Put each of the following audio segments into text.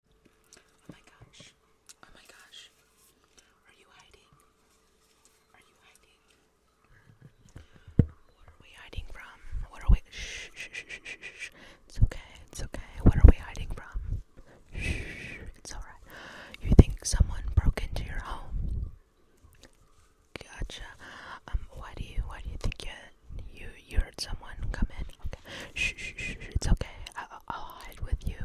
Oh my gosh. Oh my gosh. Are you hiding? Are you hiding? What are we hiding from? What are we shh shh shh shh shh It's okay. It's okay. What are we hiding from? Shh. It's all right. You think someone broke into your home? Gotcha. Um why do you why do you think you you you heard someone come in? Okay. Shh shh shh. It's okay. I'll hide with you.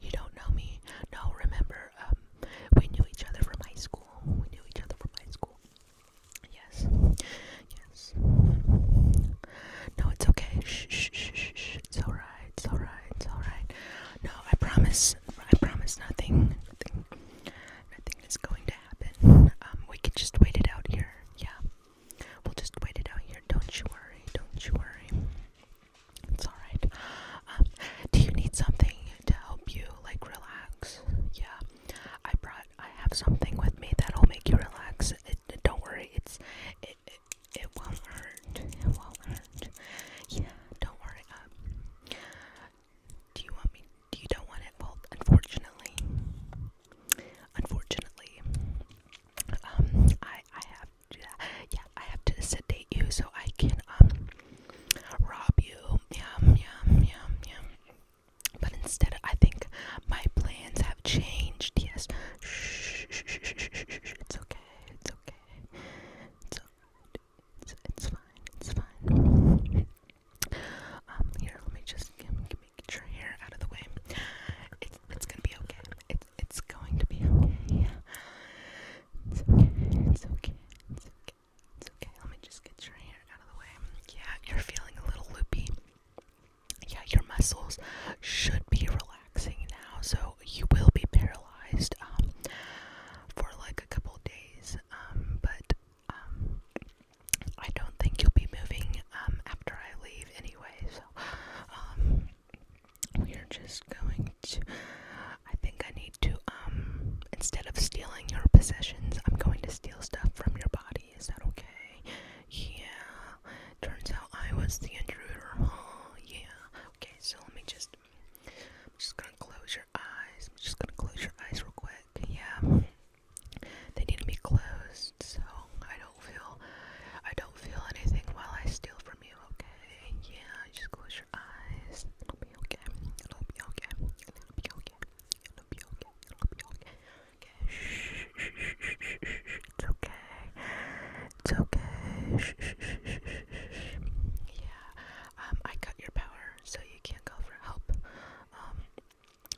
You don't know me. No, remember, um, we knew each other from high school. We knew each other from high school. Yes. Yes. No, it's okay. Shh, shh, shh, shh, It's alright. It's alright. It's alright. No, I promise. I promise nothing. Nothing. Nothing is going to happen. Um, we can just wait it out here. Yeah. We'll just wait it out here. Don't you worry. Don't you worry. It's alright. Um, do you need something to help you, like, relax? Yeah. I brought, I have something with me that'll make you relax. don't worry. It's, it, it, won't hurt. It won't hurt. Yeah, don't worry. Um, do you want me, do you don't want it? unfortunately, Unfortunately, um, I I have yeah, yeah I have to sedate you so I can um rob you. Yum yum yum yum. But instead, I think my plans have changed. Yes. Shh, shh, shh, shh, shh, shh. It's okay. It's okay. It's It's, it's fine. It's fine. Um, here, let me just um, like your hair out of the way. It's it's gonna be okay. It's it's going to be okay. It's okay. It's okay. It's okay. It's okay. Let me just get your hair out of the way. Yeah, you're feeling a little loopy. Yeah, your muscles should be relaxing now, so you will be paralyzed um, for like a couple days. Um, but um, I don't think you'll be moving after I leave anyway. So we are just going to. I think I need to, um, instead of stealing your possessions, I'm going to steal stuff from your body. Is that okay? Yeah. Turns out I was the intruder. yeah. Okay, so let me just. just gonna close your eyes. just gonna close your eyes real quick. Yeah. They need to closed podcast, so I don't feel I don't feel anything while I steal from you, okay? Yeah, just close your eyes. It'll be okay. It'll be okay. It'll be okay. It'll be okay. It'll be okay. Okay. Shh, shh, shh, shh, shh. It's okay. It's okay. Shh, shh, shh, shh, shh. Yeah. Um, I cut your power, so you can't call for help. Um,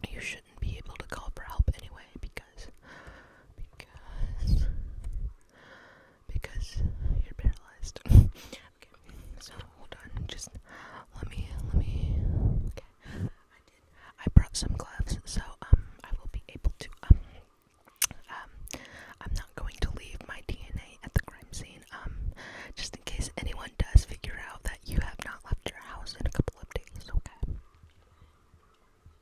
you shouldn't be able to call for help anyway. Because because because you're paralyzed. so hold on, just let me let me. Okay, I brought some gloves, so um, I will be able to um um. I'm not going to leave my DNA at the crime scene um, just in case anyone does figure out that you have not left your house in a couple of days. Okay.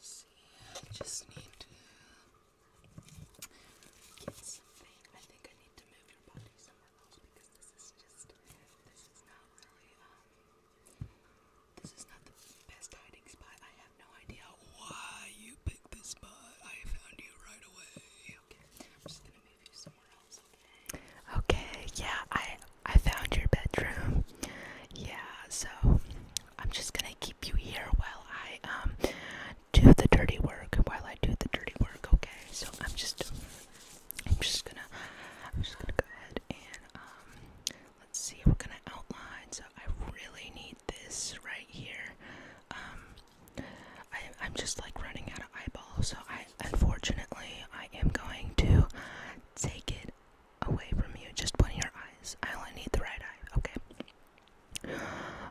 See, I just need to get something. I think I need to move your body somewhere else because this is just this is not really um, this is not the best hiding spot. I have no idea why you picked this spot. I found you right away okay? Okay, yeah, I I found your bedroom. Yeah, so I'm just gonna keep you here while I um do the dirty work. While I do the dirty work, okay? So I'm just I'm just gonna I'm just gonna go ahead and um let's see we're gonna outline so I really need this right here. Um I I'm just like running out of eyeballs so I unfortunately I am going to take it away from you. Just one of your eyes. I only need the right eye, okay?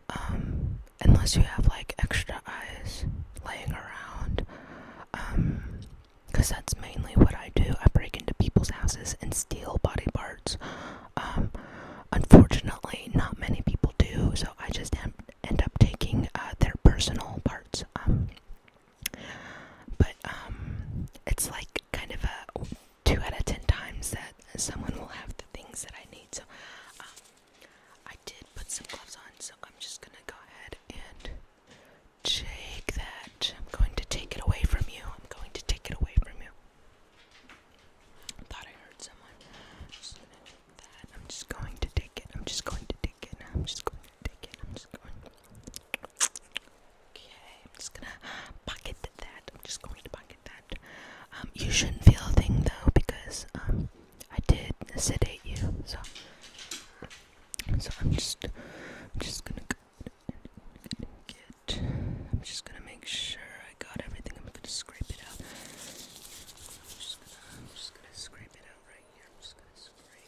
Um unless you have like extra eyes laying around. Um because that's mainly what I do. I break into people's houses and steal body parts. Um unfortunately not many people do, so I just end up taking uh, their personal parts. Um but um, it's like kind of a two out of ten times that someone will have the things that I need. So um, I did put some gloves on, so I'm just gonna go ahead and take that. I'm going to take it away from you. I'm going to take it away from you. thought I heard someone. I'm just going to take it. I'm just going to take it. I'm just going take it. I'm just going. Okay, I'm just gonna pocket that. I'm just going to pocket that. Um, you shouldn't feel a thing though because um, I did sedate you, so so I'm just I'm just gonna get. I'm just gonna make sure I got everything. I'm gonna scrape it out. I'm just gonna I'm just gonna scrape it out right here. I'm just gonna scrape. I'm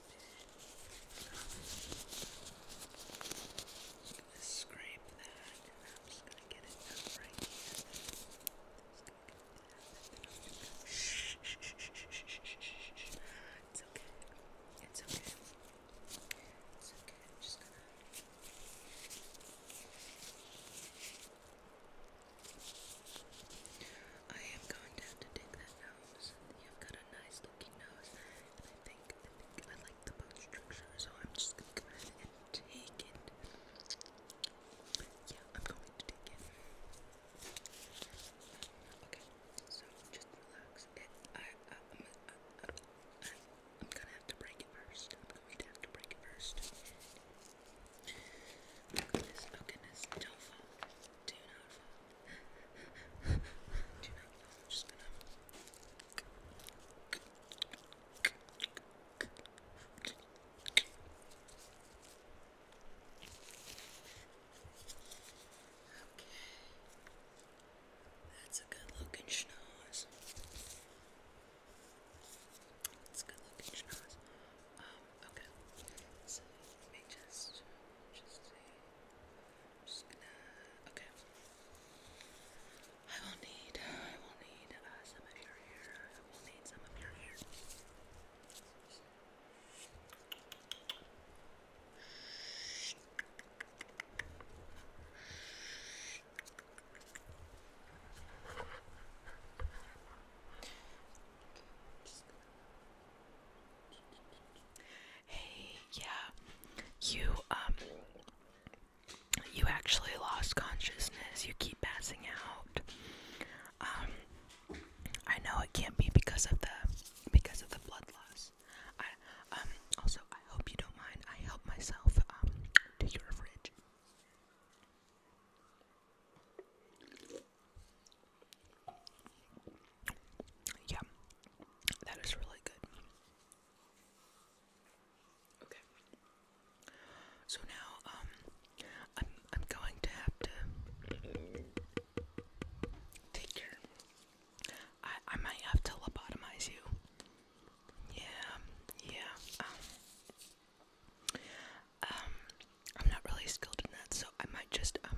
gonna scrape that and I'm just gonna get it up right here. Shh, shh, shh, shh, shh, shh. It's okay. It's okay. It's okay. I'm just gonna. I'm I am going to have to dig that nose. You've got a nice looking nose. And I think I like the bone structure, so I'm just gonna go ahead and take it. Yeah, I'm going to take it. Okay, so just relax. I, am uh, uh, going to have to break it first. Oh goodness, oh goodness, do I'm just gonna. That's a good looking schnoz. It's a good looking schnoz. Um, Okay. So let me just just i just gonna okay. I will need I will need uh, some of your hair. I will need some of your hair. Hey, yeah. You um you actually lost consciousness. You keep passing out. Um I know it can't be because of the because of the blood loss. I um also I hope you don't mind. I help myself um to your fridge. Yeah, that is really good. Okay. So now, um, I'm I'm going to have to take care. I I might have to lobotomize you. Yeah, yeah. Um, um I'm not really skilled in that, so I might just um,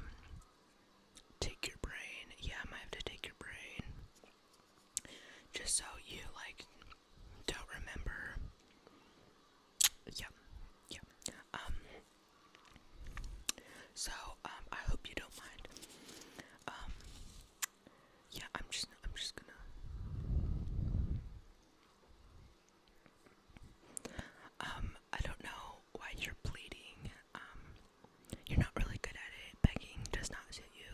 Take your brain. Yeah, I might have to take your brain. Just so you, like, don't remember. Yeah, yeah. Um, so, um, I hope you don't mind. Um, yeah, I'm just, I'm just gonna. Um, I don't know why you're pleading. Um, you're not really good at it. Begging does not suit you.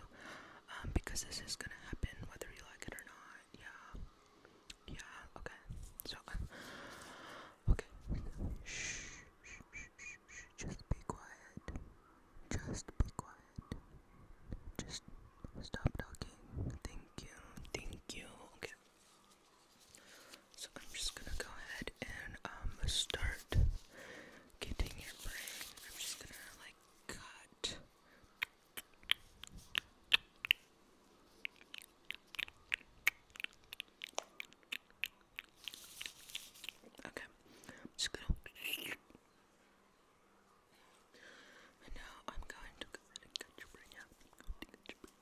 Um, because this is gonna happen whether you like it or not. Yeah. Yeah, okay. So, uh, okay. shh, shh, shh, shh. Just be quiet. Just be quiet. Just stop talking. Thank you. Thank you. Okay. So I'm just gonna go ahead and um, start getting your brain. I'm just gonna like cut. Okay, just gonna. And now I'm going to go your brain out. your brain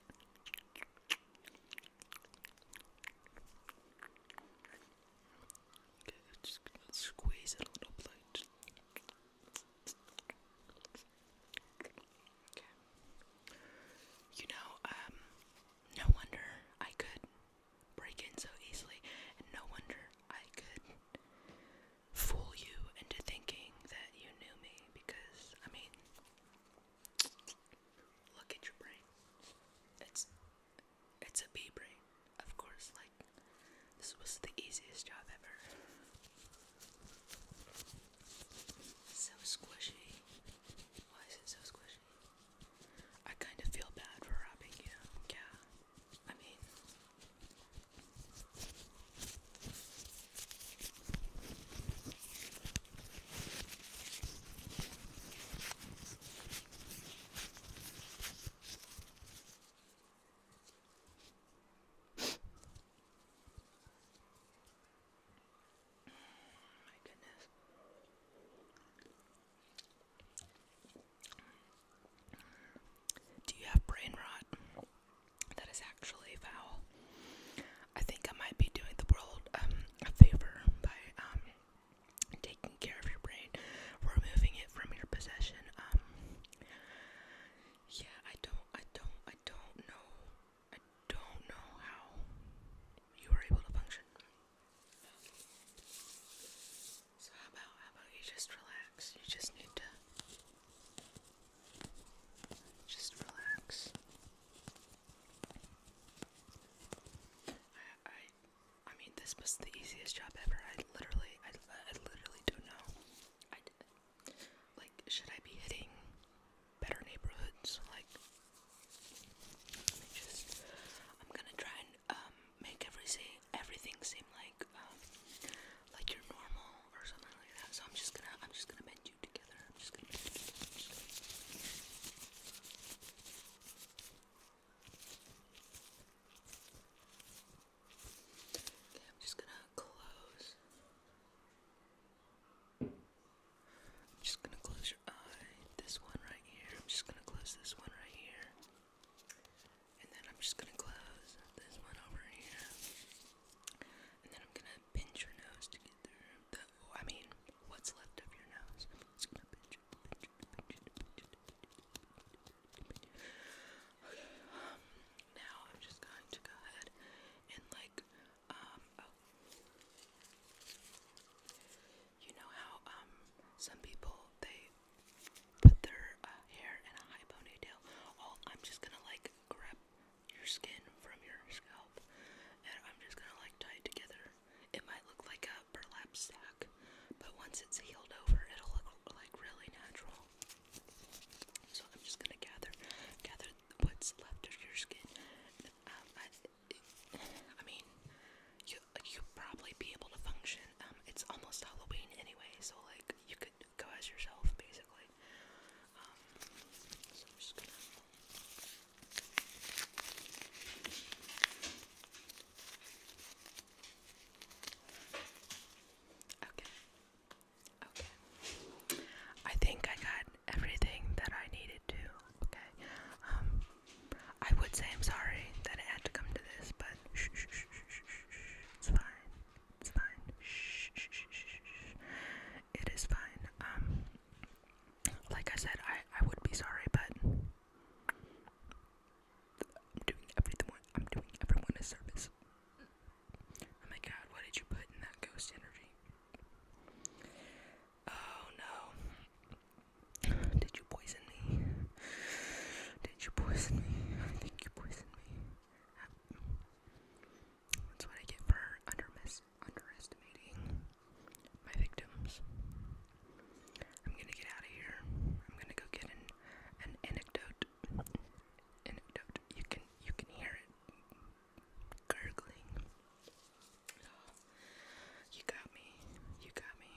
just squeeze a little bit. You know, um, no wonder I could break in so easily, and no wonder I could fool you into thinking that you knew me because, I mean, Look at your brain. It's it's a bee brain, of course. Like this was the easiest job ever. So squishy. Why is it so squishy? I kind of feel bad for robbing you. Yeah. I mean. My goodness. Do you have brain rot? That is actually foul. I think I might be doing the world um, a favor by um, taking care of your brain, removing it from your possession. Um, yeah, I don't, I don't, I don't know, I don't know how you were able to function. So how about, how about you just relax? You just need to just relax. I, I, I mean, this was the easiest job ever. I literally, I, I literally do know. I, like, should I be hitting better neighborhoods? Like, just, I'm gonna try and um, make every everything seem like, um, like you're normal or something like that. So I'm just gonna, I'm just gonna mend you together. I'm just gonna. Mend you together. I'm just gonna close. I'm just gonna close your eye. This one right here. I'm just gonna close this one right here. And then I'm just gonna close this one over here. And then I'm gonna pinch your nose to get through. I mean, what's left of your nose. now I'm just going to go ahead and like, um, oh. You know how, um, some people, they put their uh, hair in a high ponytail. I'm just gonna like grab your skin from your scalp and I'm just gonna like tie it together it might look like a burlap sack, but once it's healed over, it'll look like really natural. So I'm just gonna gather, gather what's left of your skin. Um, I, mean, you you'll probably be able to function. Um, it's almost Halloween anyway, so like you could go as yourself basically. Um, Okay. Okay. I think I got everything that I needed to. Okay. Um I would say I'm sorry that it had to come to this, but it's fine. It's fine. It is fine. Um like I said, I I would be sorry, but I'm doing everything. I'm doing everyone a service. Oh my God! What did you put in that ghost energy? Oh no! Did you poison me? Did you poison me? I think you poisoned me. That's what I get for under my underestimating my victims. I'm gonna get out of here. I'm gonna go get an an anecdote. Anecdote. You can you can hear it gurgling. You got me. You got me.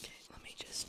Okay, let me just.